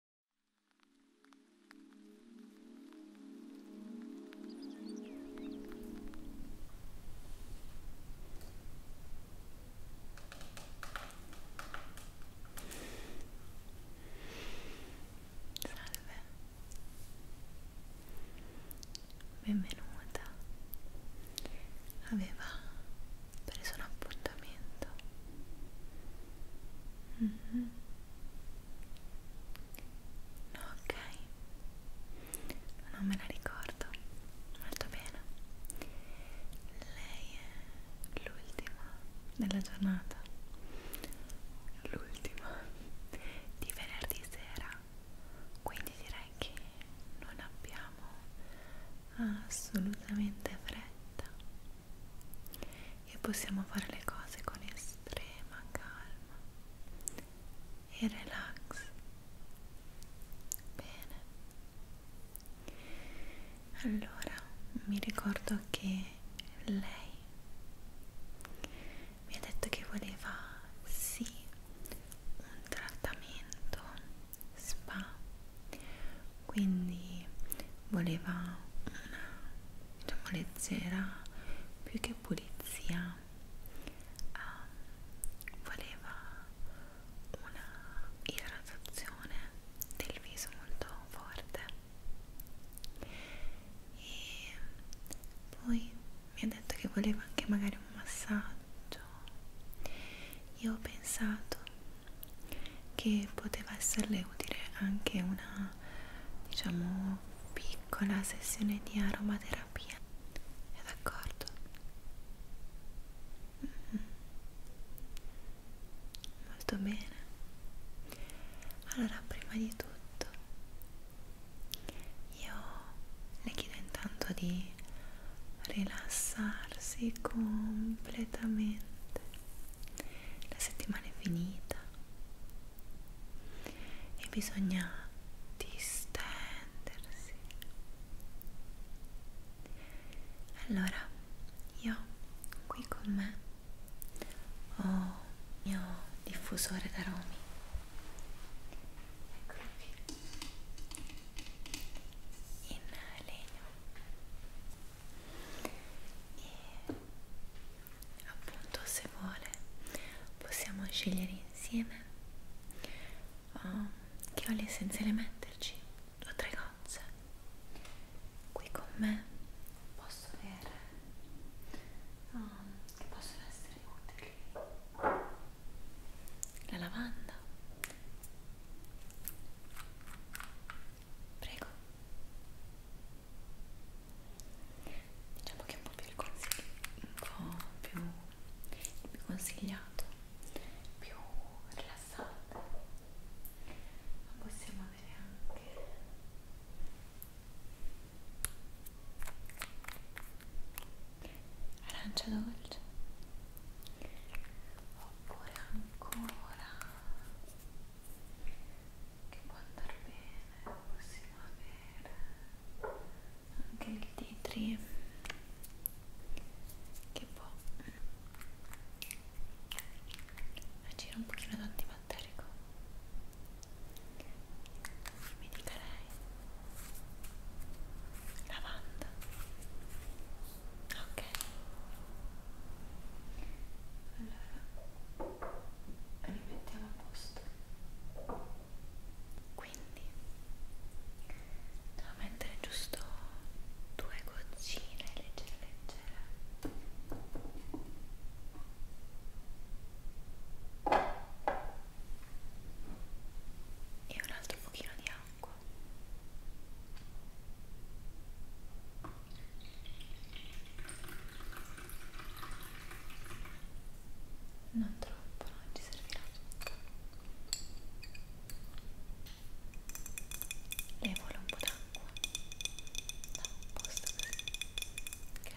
Salve, benvenuta. Aveva preso un appuntamento Mm -hmm. no, ok, non me la ricordo molto bene. Lei è l'ultima della giornata, l'ultima di venerdì sera, quindi direi che non abbiamo assolutamente fretta e possiamo fare le cose con estrema calma e relax. Bene. Allora, mi ricordo che lei mi ha detto che voleva sì un trattamento spa quindi voleva una diciamo, leggera più che pulizia uh, voleva una idratazione del viso molto forte e poi mi ha detto che voleva anche magari un massaggio io ho pensato che poteva esserle utile anche una diciamo piccola sessione di aromaterapia è d'accordo? Mm. molto bene allora prima di tutto io le chiedo intanto di rilassarsi completamente la settimana è finita e bisogna distendersi. Allora, io qui con me ho il mio diffusore d'aromi. Eccolo qui in legno e appunto se vuole possiamo scegliere insieme oh, um, che oli essenziali metterci due o tre gocce qui con me posso avere oh, che possono essere utili la lavanda prego diciamo che è un po' più il consiglio un po' più, più consigliato più rilassante ma possiamo avere anche arancia dolce oppure ancora che può andare bene possiamo avere anche il titri che può agire un pochino d'antibatterico mi dica lei lavanda ok allora rimettiamo a posto quindi devo mettere giusto due goccine leggere leggere e un altro pochino di acqua non troppo, non ci servirà lei vuole un po' d'acqua no, un posto così ok ok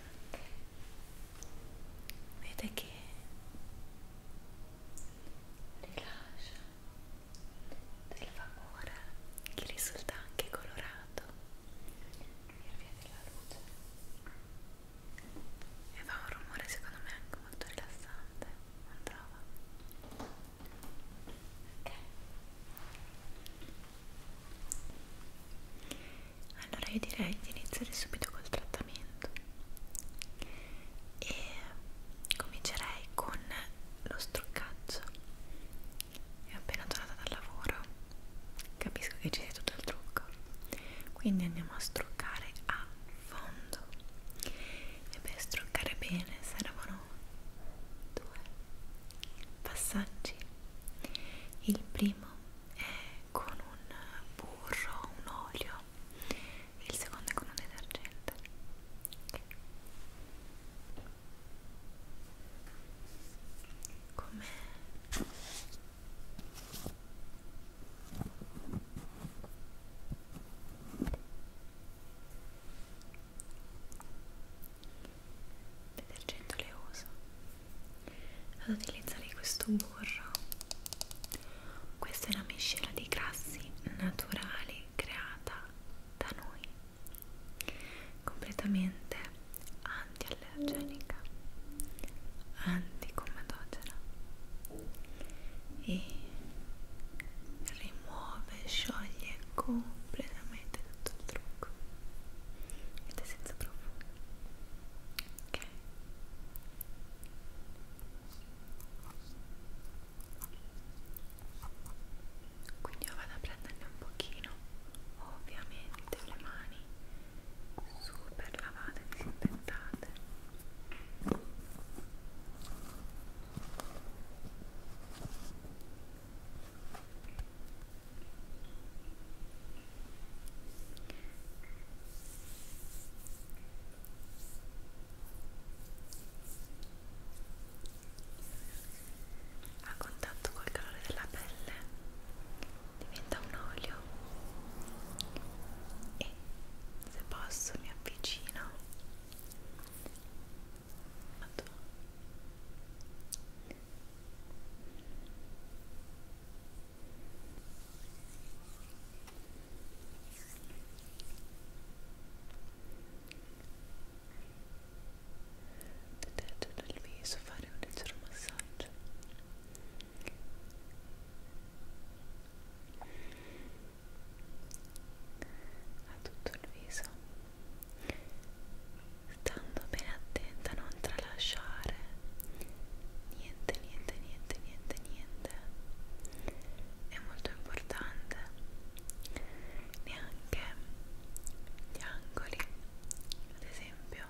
vede che rilascia del vapore che risulta anche colorato per via della luce e fa un rumore secondo me anche molto rilassante non trova? ok allora io direi di iniziare subito col trattamento e comincerei con lo struccaggio e appena tornata dal lavoro capisco che ci sia tutto il trucco quindi andiamo a struccare a fondo e per struccare bene servono due passaggi il primo è con un burro, un olio e il secondo è con un detergente okay. come detergente le uso ad utilizzare questo burro questa è una miscela di grassi naturali creata da noi completamente antiallergenica anticomedogena e rimuove scioglie completamente tutto il trucco ed è senza profumo ok quindi io vado a prenderne un pochino ovviamente le mani super lavate e disinfettate ok a contatto col calore della pelle diventa un olio e se posso mi avvicino Vado. Detergendo il viso, fare un leggero massaggio. A tutto il viso, stando bene attenta a non tralasciare niente niente niente niente niente è molto importante neanche gli angoli ad esempio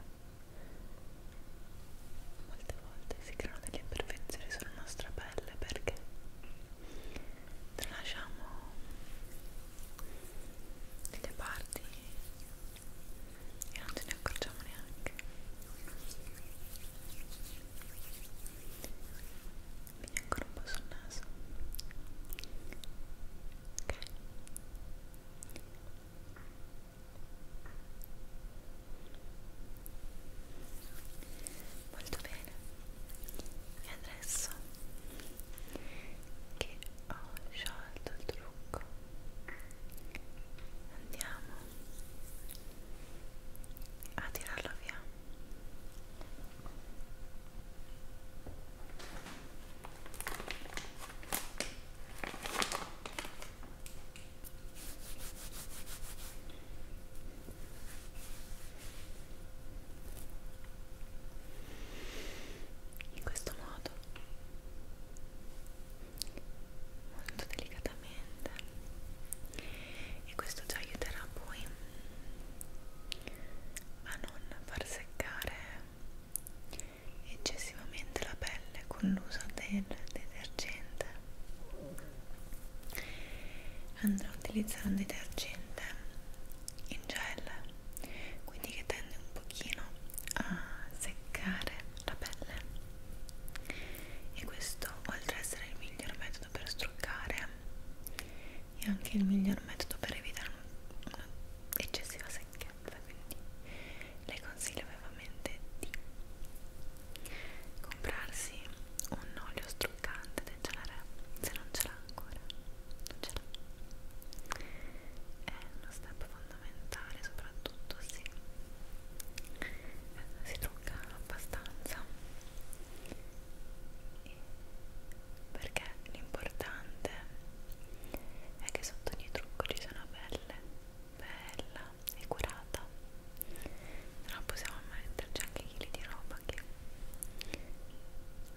molte volte si creano delle imperfezioni sulla nostra pelle perché tralasciamo delle parti e non ce ne accorgiamo neanche quindi ancora un po' sul naso ok molto bene e adesso che ho sciolto il trucco andiamo a tirarlo via in questo modo molto delicatamente e questo già aiuterà poi a non far seccare eccessivamente la pelle con l'uso del detergente andrò a utilizzare un detergente in gel quindi che tende un pochino a seccare la pelle e questo oltre ad essere il miglior metodo per struccare è anche il miglior metodo per evitare un'eccessiva secchezza quindi le consiglio vivamente di comprarsi un olio struccante del genere se non ce l'ha ancora non ce l'ha è uno step fondamentale fondamentale soprattutto se eh, si trucca abbastanza perché l'importante è che sotto ogni trucco ci sia una pelle bella e curata non possiamo metterci anche chili di roba che non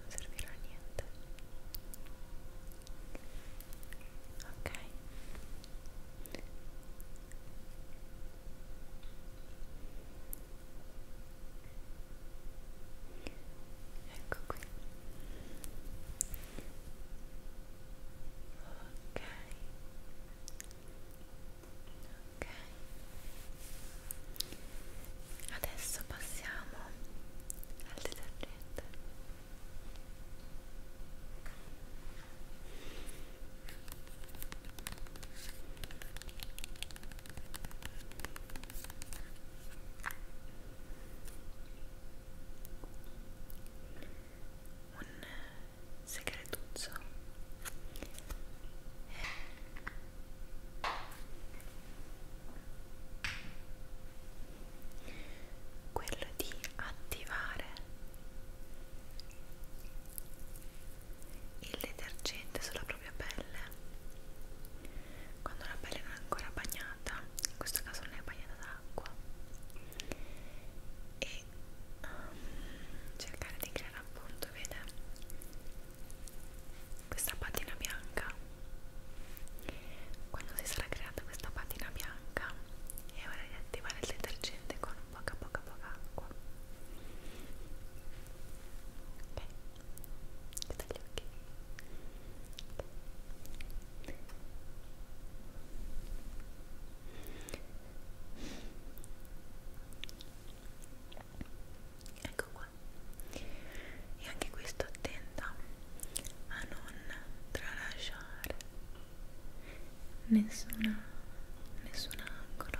servirà a niente ok ecco qui ok ok adesso passiamo al detergente un segretuzzo quello di attivare il detergente sulla propria pelle quando la pelle non è ancora bagnata in questo caso non è bagnata d'acqua e um, cercare di creare appunto vede questa patina bianca quando si sarà creata questa patina bianca è ora di attivare il detergente con poca poca poca acqua ok chiudi gli occhi ecco qua e anche questo attenta a non tralasciare nessuna, nessun angolo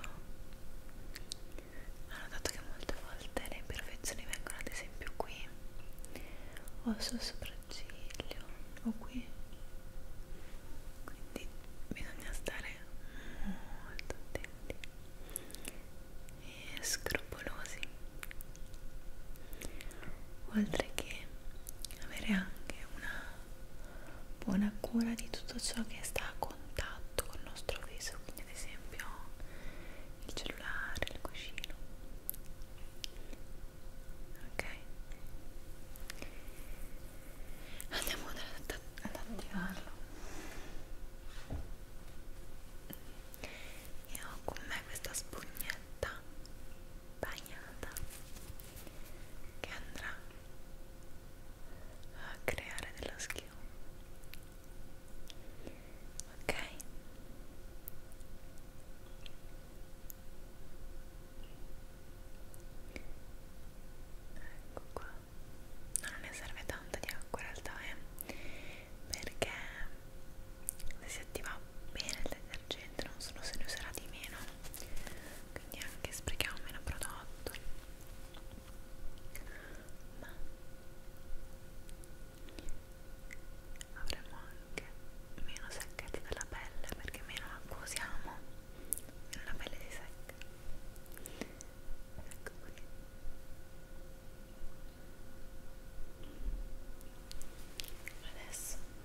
ho notato che molte volte le imperfezioni vengono ad esempio qui o sul sopracciglio o qui quindi bisogna stare molto attenti e scrupolosi oltre che avere anche una buona cura di tutto ciò che sta a contatto con il nostro viso, quindi ad esempio il cellulare, il cuscino. Ok? Andiamo ad, ad, ad attivarlo. E ho con me questa spugnetta coperta bagnata che andrà a creare dello schio ok ecco qua no, non ne serve tanto di acqua in realtà eh? perché se si attiva bene il detergente non solo se ne userà di meno quindi anche sprechiamo meno prodotto ma avremo anche meno secchezza della pelle perché meno acqua usiamo meno la pelle si secca ecco qui adesso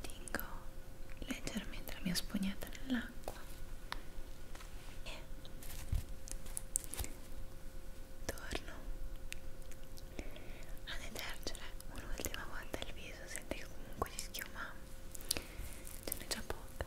Tingo leggermente la mia spugnetta nell'acqua e torno a detergere un'ultima volta il viso, sente che comunque si schiuma, ce n'è già poca.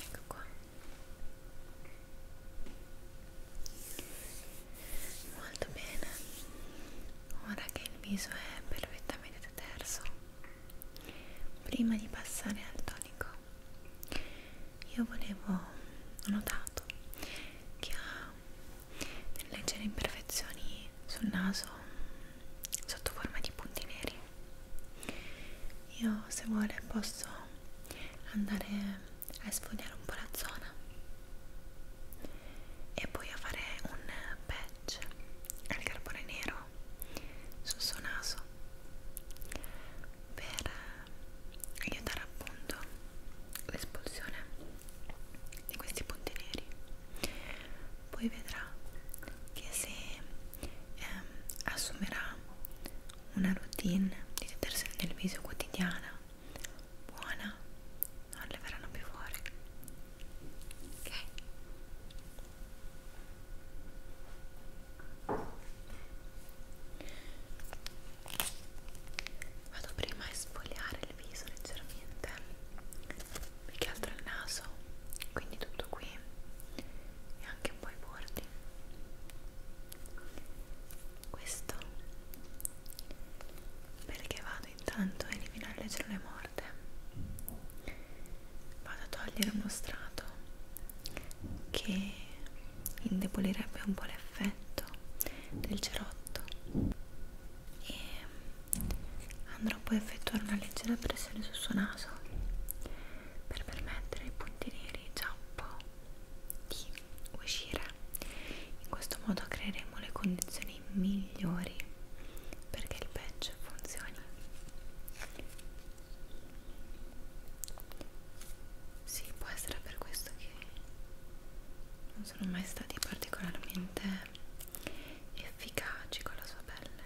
Ecco qua. Molto bene. Ora che il viso è perfettamente terso, prima di passare al tonico, io volevo ho notato che ha delle leggere imperfezioni sul naso sotto forma di punti neri io se vuole posso andare a sfogliare un po' la zona e poi a fare un patch al carbone nero sul suo naso per aiutare appunto l'espulsione di questi punti neri poi vedrà che se ehm, assumerà una routine di detersione del viso quotidiana buona non le verranno più fuori ok vado prima a esfoliare il viso leggermente più che altro il naso quindi tutto qui e anche un po' i bordi questo perché vado intanto a eliminare le cellule morte vado a togliere uno strato che indebolirebbe un po' l'effetto del cerotto e andrò poi a effettuare una leggera pressione sul suo naso per permettere ai punti neri già un po' di uscire in questo modo creeremo le condizioni migliori perché il patch funzioni sì, può essere per questo che non sono mai stati particolarmente efficaci con la sua pelle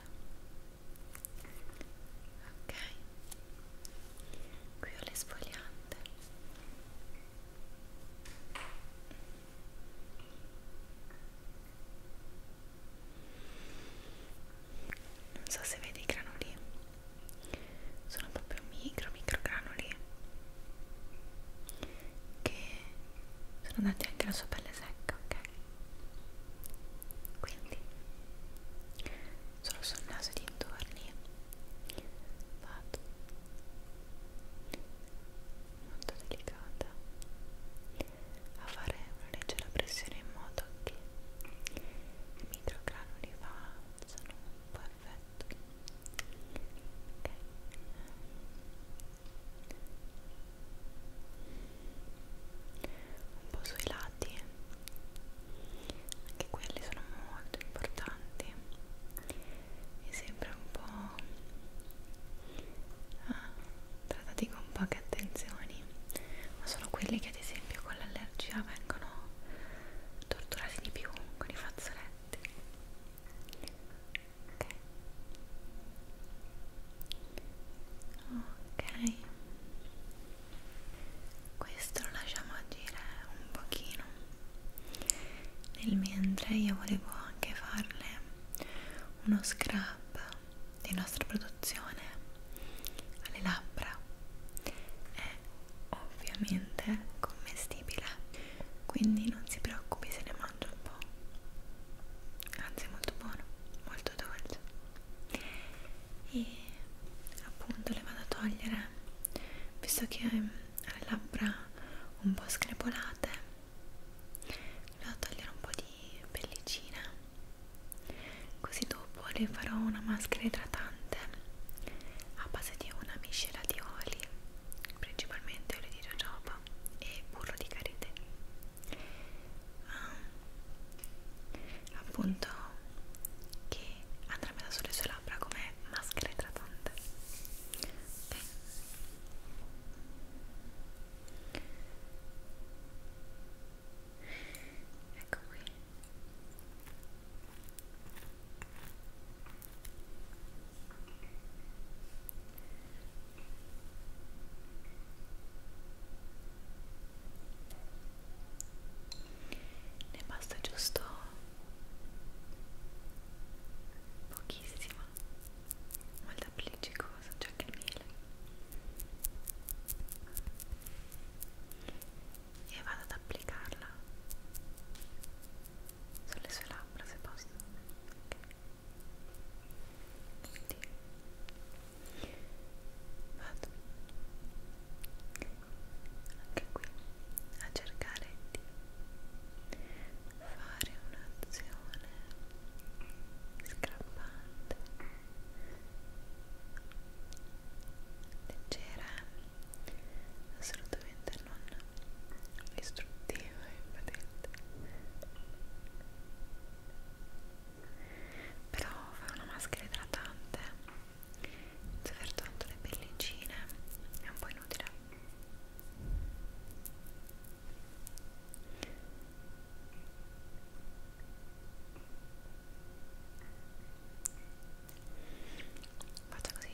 ok qui ho le sfogliante non so se vedi i granuli sono proprio micro micro granuli che sono dati anche alla sua pelle secca, ok? Quindi solo sul naso e dintorni vado molto delicata a fare una leggera pressione in modo che i microgranuli facciano un po' effetto un po' sui lati anche quelli sono molto importanti e sempre un po' ah, trattati con poche attenzioni ma sono quelli che ad esempio con l'allergia vengono torturati di più con i fazzoletti ok questo lo lasciamo agire un pochino nel mentre io volevo anche farle uno scrub di nostra produzione alle labbra è ovviamente commestibile quindi non si preoccupi se ne mangio un po' anzi è molto buono molto dolce e appunto le vado a togliere visto che ha ehm, le labbra un po' screpolate le vado a togliere un po' di pellicina così dopo le farò una maschera idratante a base di una miscela di oli principalmente olio di jojoba e burro di karité ah, ehm, appunto che andrà bene sulle sue labbra come maschera idratante okay. Ecco qui ne basta giusto pochissima molto appelliccicosa cioè che il miele e vado ad applicarla sulle sue labbra se posso okay. quindi vado anche qui a cercare di fare un'azione scrappante leggera assolutamente non istruttiva e impotente però fare una maschera idratante senza aver tolto le pellicine è un po' inutile faccio così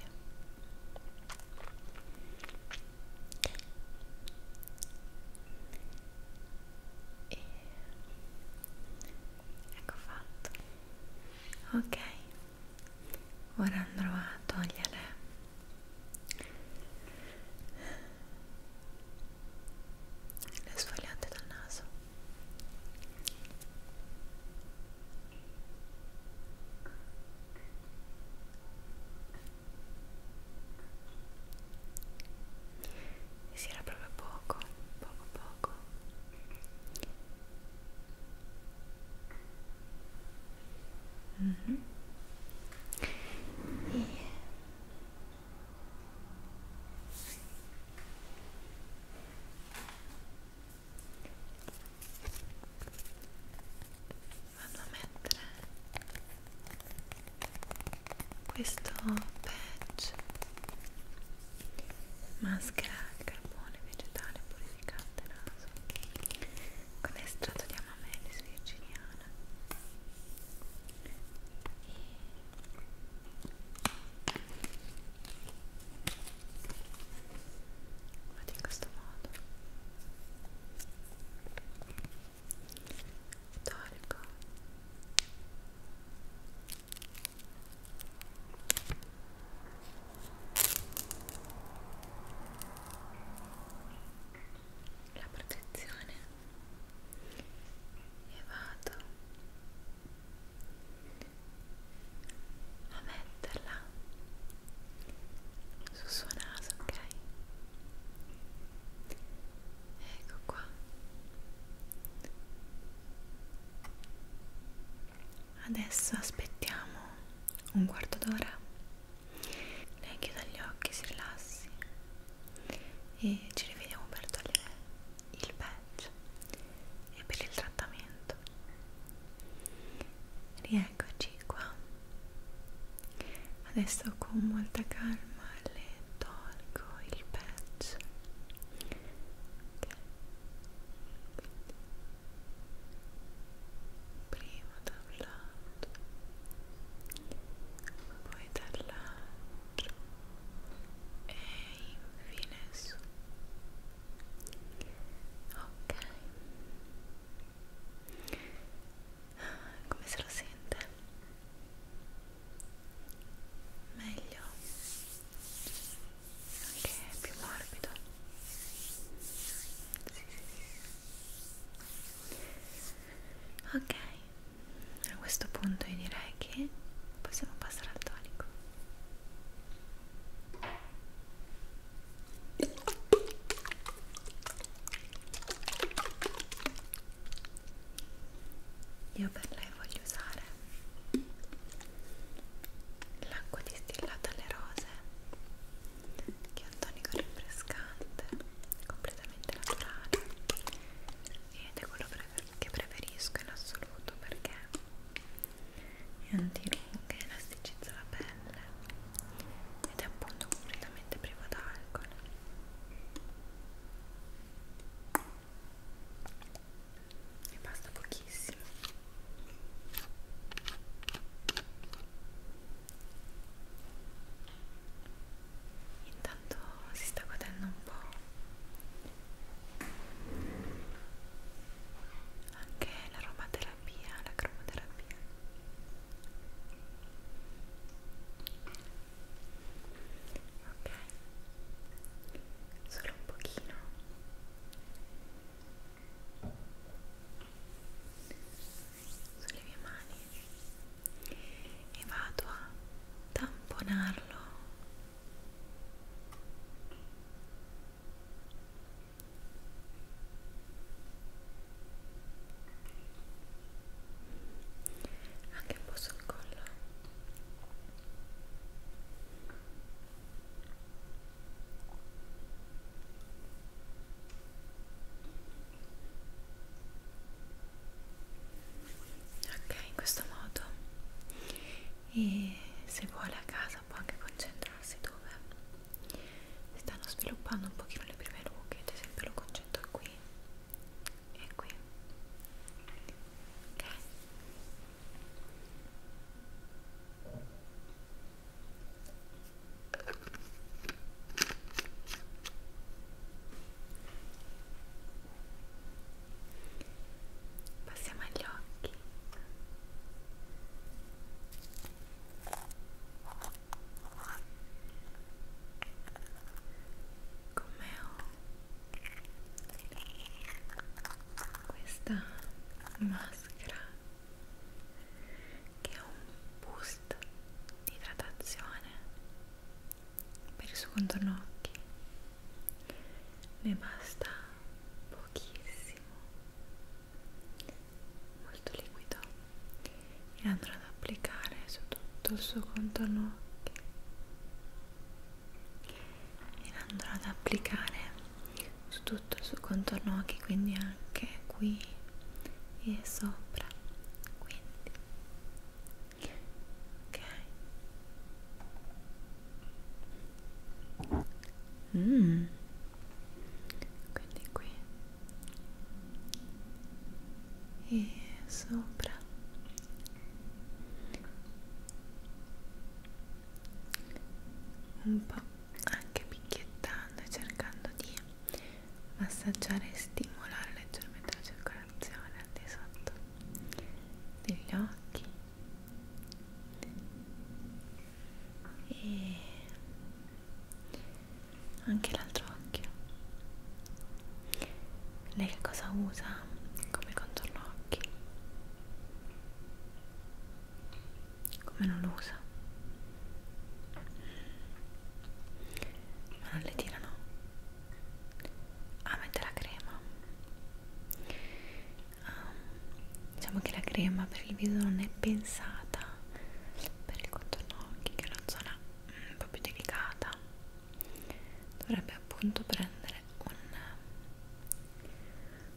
e ecco fatto ok ora andrò a togliere le sfogliate dal naso e si era proprio poco poco poco mm -hmm. e vado a mettere questo patch maschera al carbone vegetale purificante naso con estratto di amamelis virginiana e vado in questo modo tolgo la protezione e vado a metterla sul suo naso, ok? Ecco qua. Adesso aspettiamo un quarto d'ora. Lei chiuda gli occhi, si rilassi e ci rivediamo per togliere il patch e per il trattamento tutto rieccoci qua adesso con molta calma le tolgo il pezzo okay. prima da un lato poi dall'altro e infine su ok come se lo sente? meglio ok, più morbido sì, sì, sì. ok a questo punto io direi che possiamo passare al tonico io per lei voglio usare l'acqua distillata alle rose, che è un tonico rinfrescante, completamente naturale ed è quello che preferisco in assoluto perché è antirughe, elasticizza la pelle ed è appunto completamente privo d'alcol e basta pochissimo intanto si sta godendo un po' anche l'aromaterapia terapia, la cromoterapia. Ok, solo un pochino. Sulle mie mani e vado a tamponarlo anche un po' sul collo ok in questo modo e se vuole a casa cosa può anche concentrarsi dove si stanno sviluppando un pochino le prime rughe ad esempio lo concentro qui e qui ok Passiamo agli occhi come ho questa maschera che è un boost di idratazione per il suo contorno occhi ne basta pochissimo molto liquido e andrò ad applicare su tutto il suo contorno occhi e andrò ad applicare su tutto il suo contorno occhi quindi anche qui e sopra quindi ok mmm quindi qui e sopra un po' anche picchiettando e cercando di massaggiare e stimolare leggermente la circolazione al di sotto degli occhi e anche l'altro occhio lei che cosa usa come contorno occhi come non lo usa ma non le tirano a ah, mettere la crema um, diciamo che la crema per il viso non è pensata per il contorno occhi che è una zona mm, un po' più delicata dovrebbe appunto prendere un,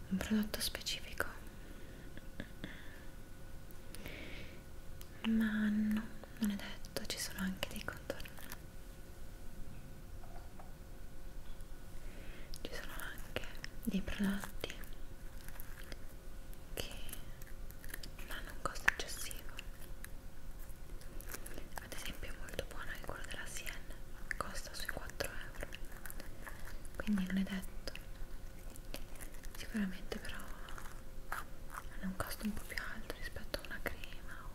un prodotto specifico ma no, non è detto, ci sono anche dei contorni ci sono anche dei prodotti che non hanno un costo eccessivo ad esempio è molto buono il quello della Siena costa sui 4 euro quindi non è detto sicuramente però hanno un costo un po' più alto rispetto a una crema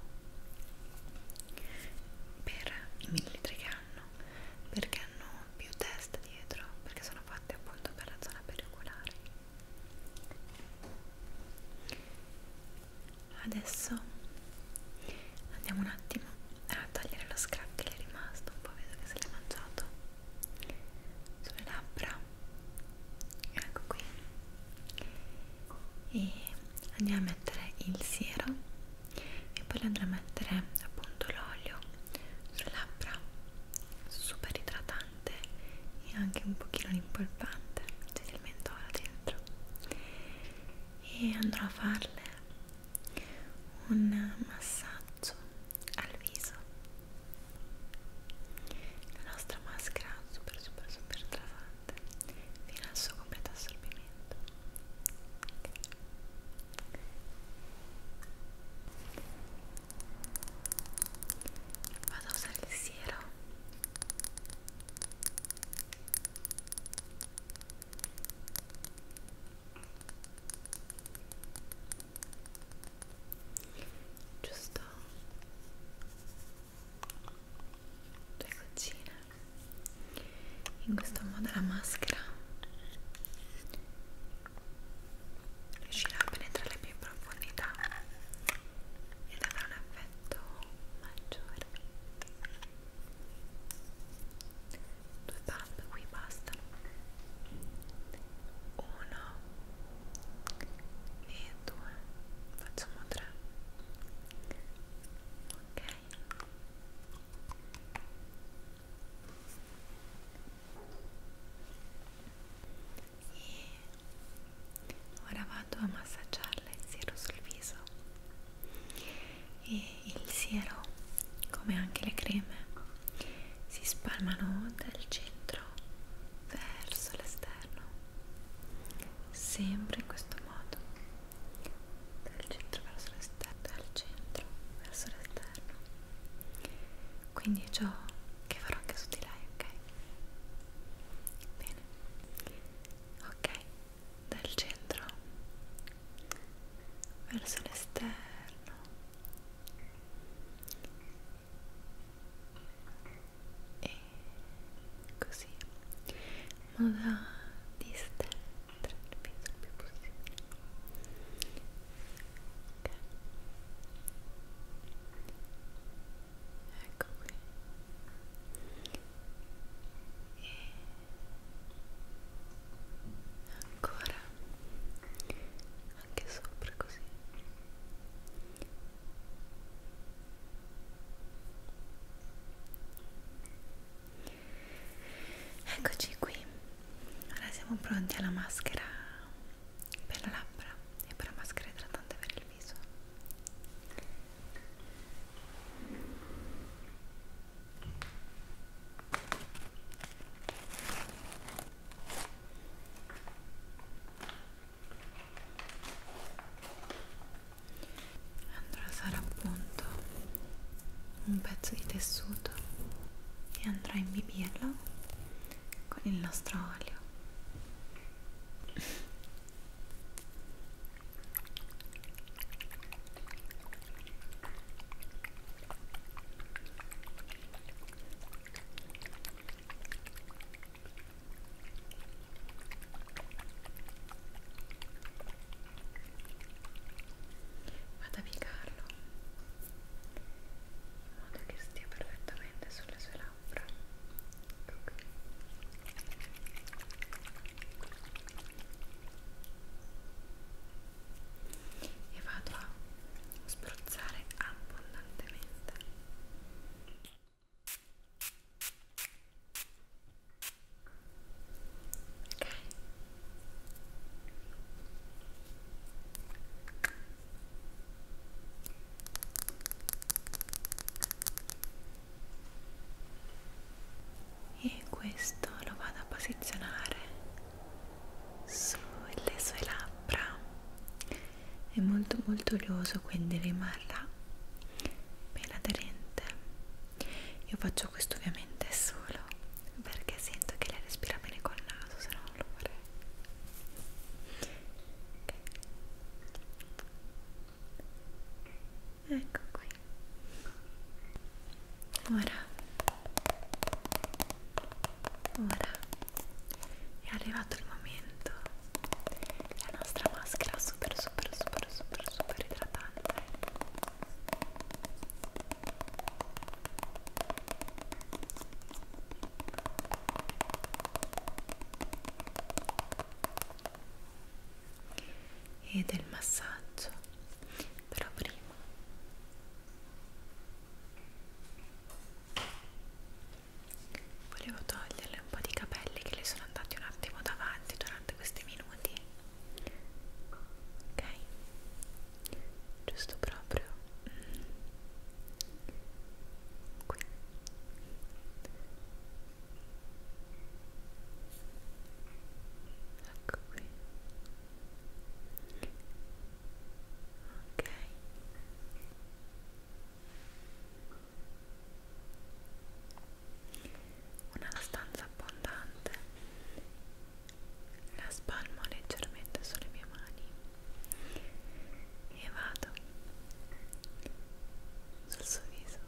per i millilitri che hanno perché hanno più test dietro perché sono fatte appunto per la zona periculare adesso andiamo un attimo a togliere lo scrap che gli è rimasto un po' vedo che se l'è mangiato sulle labbra ecco qui e andiamo a mettere il siero e poi le andrò a mettere appunto l'olio sulle labbra super idratante e anche un pochino rimpolpante c'è del mentolo dentro e andrò a farle un massaggio al viso la nostra maschera super super super idratante fino al suo completo assorbimento Vado a usare il siero giusto due goccine in questo modo la maschera riuscirà a penetrare più in profondità ed avrà un effetto maggiore due pump qui basta uno e due facciamo tre ok e ora vado a massaggiarle il siero sul viso e il siero come anche le creme si spalmano dal centro verso l'esterno sempre in questo modo dal centro verso l'esterno dal centro verso l'esterno quindi è ciò che farò anche su di lei ok bene ok dal centro verso l'esterno e così in modo da distendere tra il peso il più possibile ok ecco qui e ancora anche sopra così ok Eccoci qui, ora siamo pronti alla maschera per la labbra e per la maschera idratante per il viso. Andrò a usare appunto un pezzo di tessuto e andrò a imbibirlo con il nostro olio vado a piegarlo in modo che stia perfettamente sulle sue labbra ecco qui e vado a spruzzare abbondantemente Ok. E questo lo vado a posizionare sulle sue labbra. È molto molto olioso, quindi rimarrà ben aderente. Io faccio questo ovviamente solo perché sento che lei respira bene col naso, se no non lo farei. Okay. Ecco qui. Ora, ora è arrivato il momento. La nostra maschera super super super super super idratante e del massaggio però prima volevo toglierle un po' di capelli che le sono andati un attimo davanti durante durante questi minuti ok giusto proprio mm. qui ecco qui ok una stanza abbondante la spalmo leggermente sulle mie mani e vado sul suo viso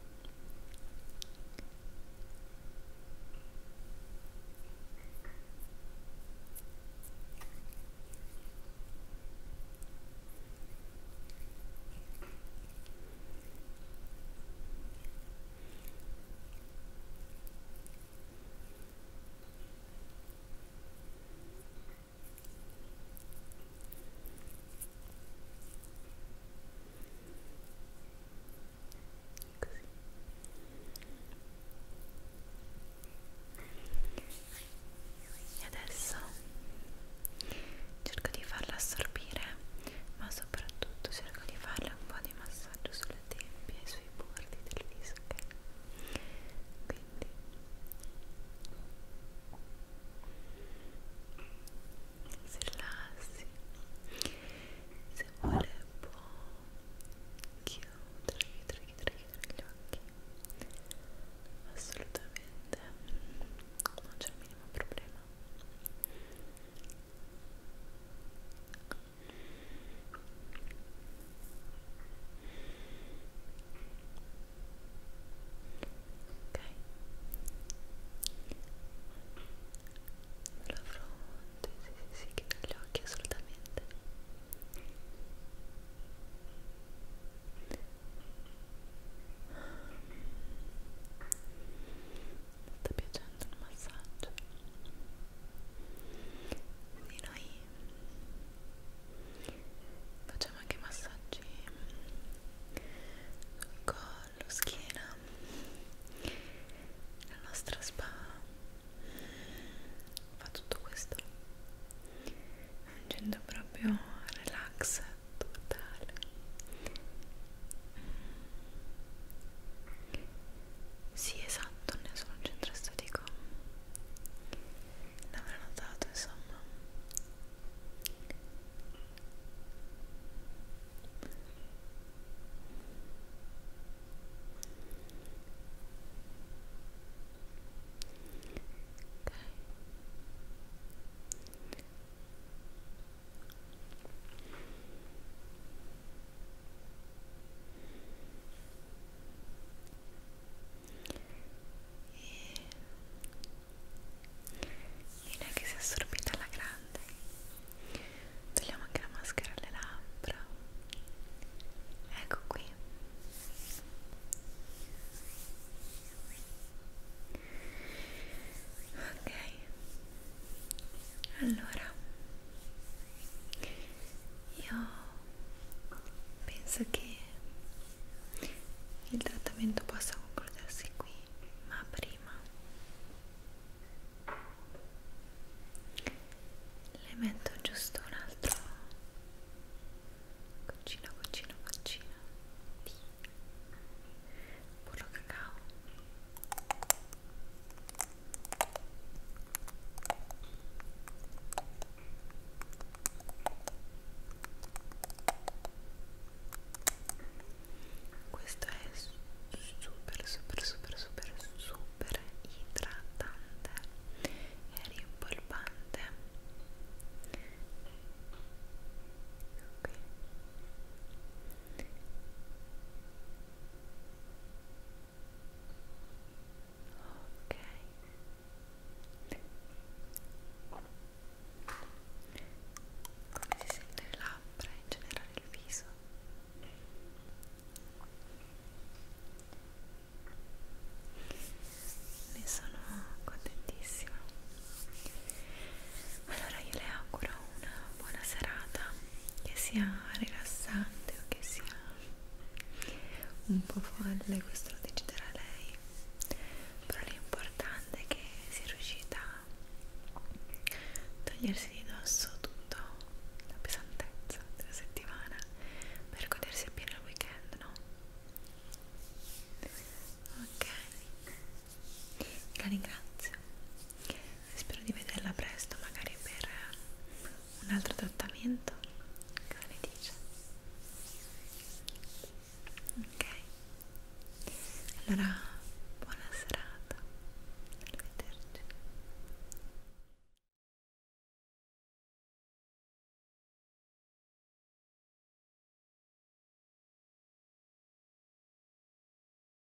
Così. E adesso cerco di farla assorbire, ma soprattutto cerco di farle un po' di massaggio sulle sulla tempia e sui bordi del viso, ok? Quindi si rilassi se vuole può chiudere, chiudere, chiudere, chiudere gli occhi assolutamente non c'è il minimo problema ok la fronte, sì sì sì, chiudo gli occhi assolutamente ti sta piacendo il massaggio? Sì, noi facciamo anche massaggi sul collo, schiena, la nostra spa fa tutto questo facendo proprio relax totale sì, esatto, ne sono un centro estetico. L'avrò notato, insomma. Ok e non è che sia assorbita alla grande togliamo anche la maschera alle labbra ecco qui ok allora, io penso che il trattamento possa concludersi qui, ma prima le metto giusto un altro goccino, goccino, goccino di burro cacao questo è super super super super super idratante e rimpolpante ok ok come si sente le labbra in generale il viso ne sono contentissima allora io le auguro una buona serata che sia rilassante o che sia un po' folle questo lo deciderà lei però l'importante è che sia riuscita a togliersi di dosso tutto la pesantezza della settimana per godersi appieno il weekend no? ok la ringrazio spero di vederla presto magari per un altro trattamento cosa ne dice? ok allora buona serata arrivederci